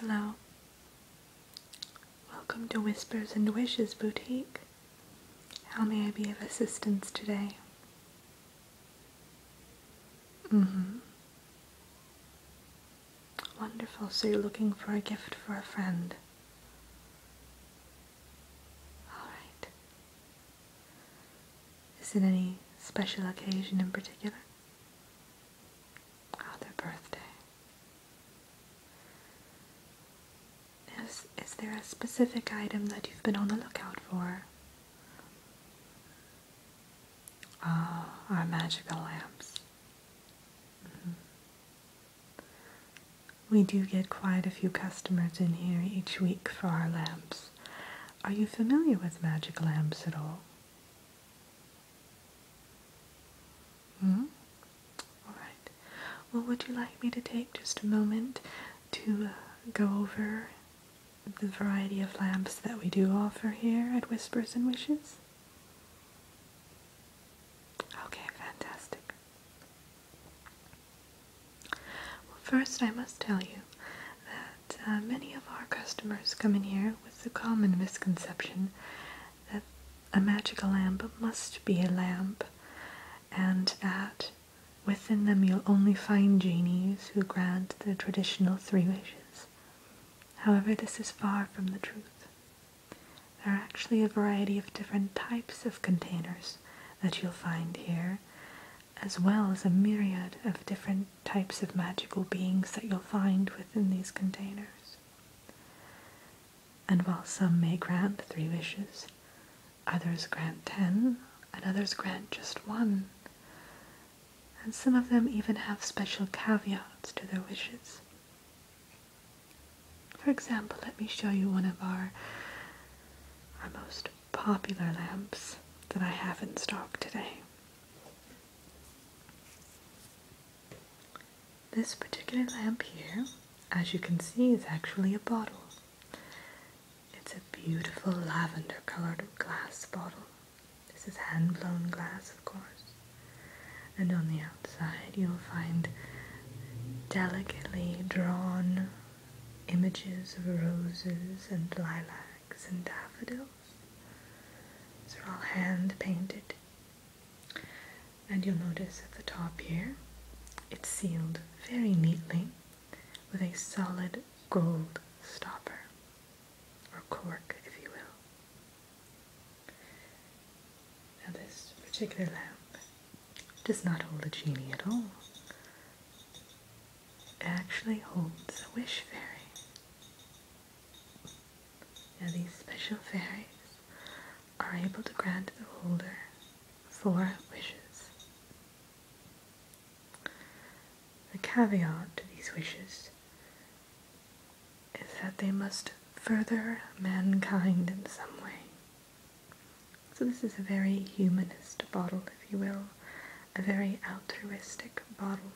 Hello. Welcome to Whispers and Wishes Boutique. How may I be of assistance today? Mm-hmm. Wonderful. So you're looking for a gift for a friend. Alright. Is it any special occasion in particular? Oh, birthday. Is, is there a specific item that you've been on the lookout for? Ah, our magical lamps. Mm-hmm. We do get quite a few customers in here each week for our lamps. Are you familiar with magic lamps at all? Hmm? Alright. Well, would you like me to take just a moment to uh, go over the variety of lamps that we do offer here at Whispers and Wishes? Okay, fantastic. Well, first, I must tell you that uh, many of our customers come in here with the common misconception that a magical lamp must be a lamp, and that within them you'll only find genies who grant the traditional three wishes. However, this is far from the truth. There are actually a variety of different types of containers that you'll find here, as well as a myriad of different types of magical beings that you'll find within these containers. And while some may grant three wishes, others grant ten, and others grant just one. And some of them even have special caveats to their wishes. For example, let me show you one of our, our most popular lamps that I have in stock today. This particular lamp here, as you can see, is actually a bottle. It's a beautiful lavender colored glass bottle. This is hand blown glass, of course and on the outside you'll find delicately drawn images of roses and lilacs and daffodils. These are all hand painted. And you'll notice at the top here, it's sealed very neatly with a solid gold stopper, or cork if you will. Now, this particular lamp does not hold a genie at all, it actually holds a wish fairy. Now, these special fairies are able to grant the holder four wishes. The caveat to these wishes is that they must further mankind in some way. So, this is a very humanist bottle, if you will, a very altruistic bottle.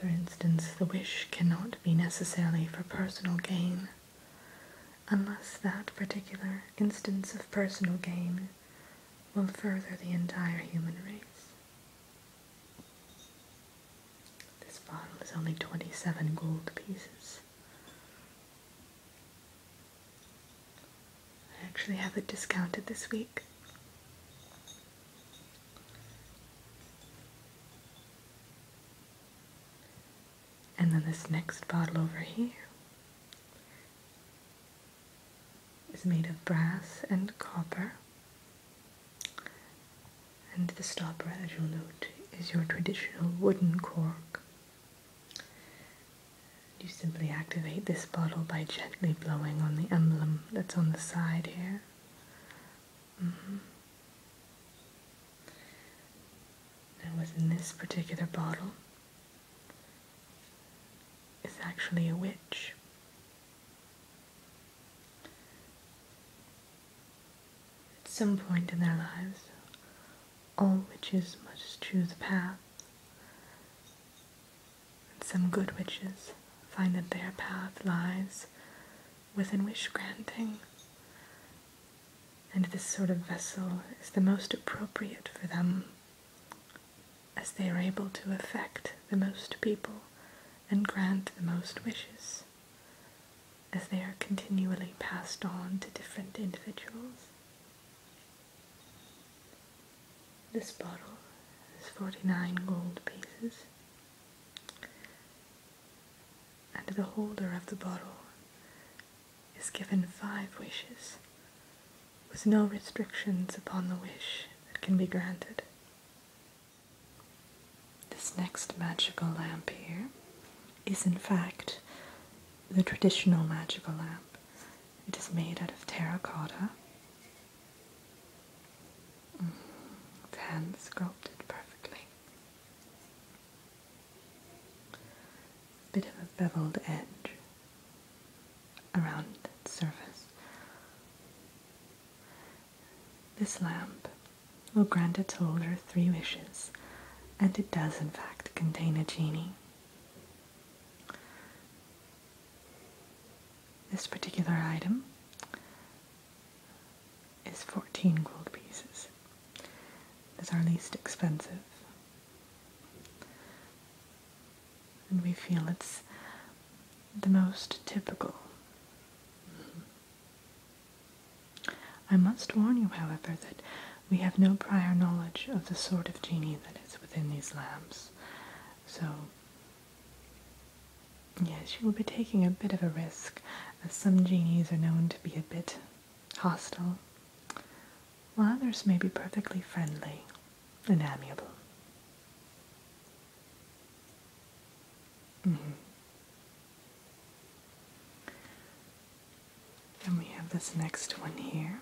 For instance, the wish cannot be necessarily for personal gain unless that particular instance of personal gain will further the entire human race. This bottle is only 27 gold pieces. I actually have it discounted this week. And then this next bottle over here is made of brass and copper. And the stopper, as you'll note, is your traditional wooden cork. You simply activate this bottle by gently blowing on the emblem that's on the side here. Mm within this particular bottle is actually a witch. At some point in their lives, all witches must choose a path, and some good witches find that their path lies within wish granting, and this sort of vessel is the most appropriate for them as they are able to affect the most people and grant the most wishes, as they are continually passed on to different individuals. This bottle is 49 gold pieces, and the holder of the bottle is given five wishes with no restrictions upon the wish that can be granted. This next magical lamp here is, in fact, the traditional magical lamp. It is made out of terracotta. Mm, hand sculpted perfectly. Bit of a beveled edge around that surface. This lamp will grant its holder three wishes, and it does in fact contain a genie. This particular item is 14 gold pieces. It's our least expensive and we feel it's the most typical. Mm-hmm. I must warn you, however, that we have no prior knowledge of the sort of genie that is within these lamps. So, yes, you will be taking a bit of a risk, as some genies are known to be a bit hostile, while others may be perfectly friendly and amiable. And mm-hmm. we have this next one here.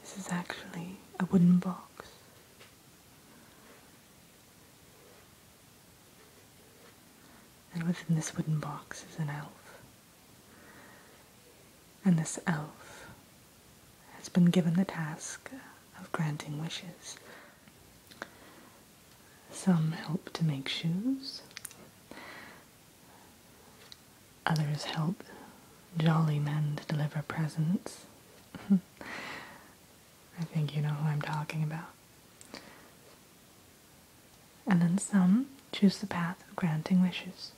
This is actually a wooden box. And within this wooden box is an elf. And this elf has been given the task of granting wishes. Some help to make shoes, others help jolly men to deliver presents. I think you know who I'm talking about. And then some choose the path of granting wishes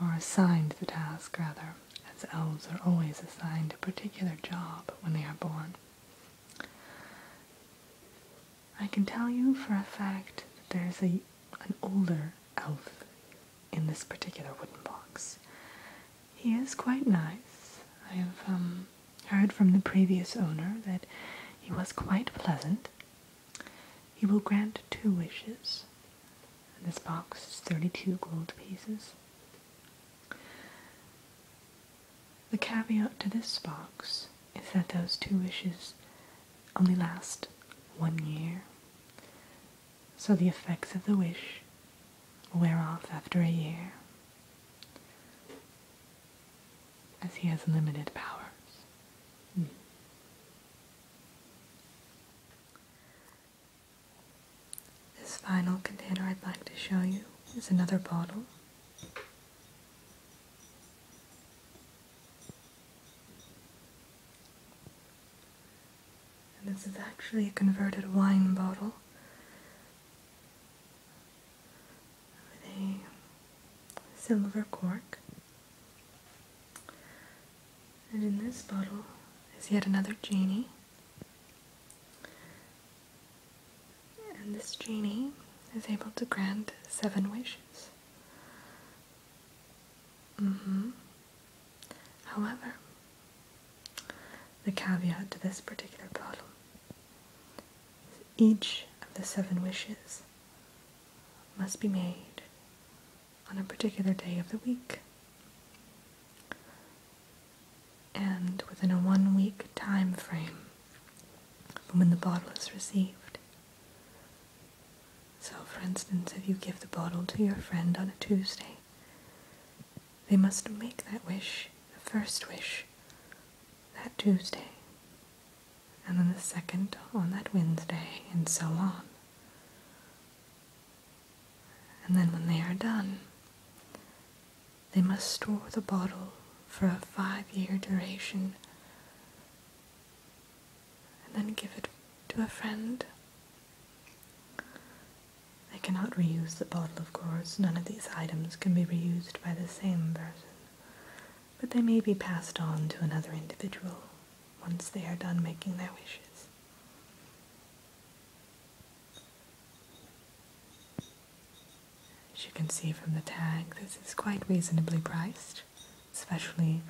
or assigned the task rather, as elves are always assigned a particular job when they are born. I can tell you for a fact that there's a, an older elf in this particular wooden box. He is quite nice. I have um, heard from the previous owner that he was quite pleasant he will grant two wishes. And this box is 32 gold pieces. The caveat to this box is that those two wishes only last one year. So the effects of the wish wear off after a year as he has limited powers. Hmm. This final container I'd like to show you is another bottle. And this is actually a converted wine bottle with a silver cork. And in this bottle is yet another genie. And this genie is able to grant seven wishes. Mm-hmm. However, the caveat to this particular bottle each of the seven wishes must be made on a particular day of the week and within a one week time frame from when the bottle is received. So, for instance, if you give the bottle to your friend on a Tuesday, they must make that wish, the first wish, that Tuesday and then the second on that Wednesday, and so on. And then when they are done, they must store the bottle for a five year duration and then give it to a friend. They cannot reuse the bottle, of course. None of these items can be reused by the same person but they may be passed on to another individual once they are done making their wishes. As you can see from the tag, this is quite reasonably priced, especially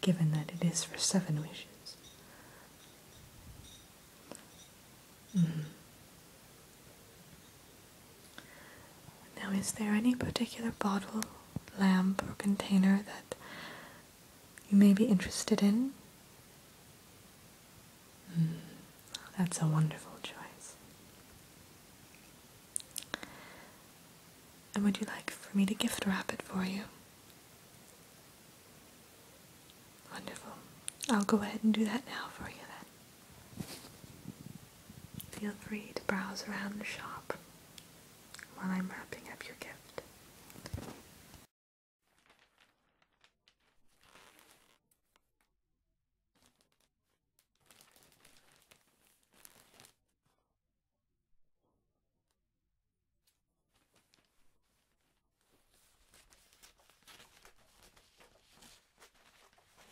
given that it is for seven wishes. Hmm. Now, is there any particular bottle, lamp, or container that you may be interested in? Hmm, that's a wonderful choice. And would you like for me to gift wrap it for you? Wonderful. I'll go ahead and do that now for you then. Feel free to browse around the shop while I'm wrapping up your gift.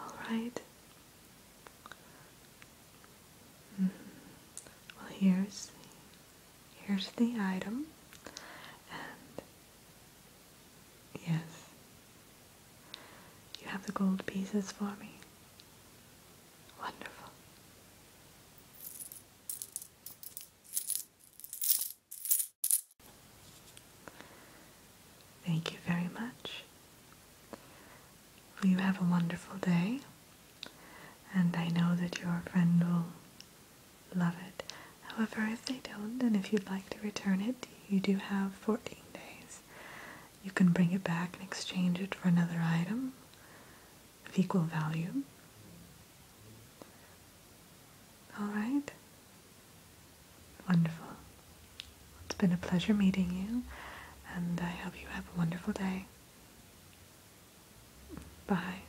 All right. Mm-hmm. Well, here's the, here's the item, and yes, you have the gold pieces for me. Wonderful. Thank you very much. Well, you have a wonderful day, and I know that your friend will love it. However, if they don't, and if you'd like to return it, you do have 14 days you can bring it back and exchange it for another item of equal value. All right? Wonderful. It's been a pleasure meeting you, and I hope you have a wonderful day. Bye.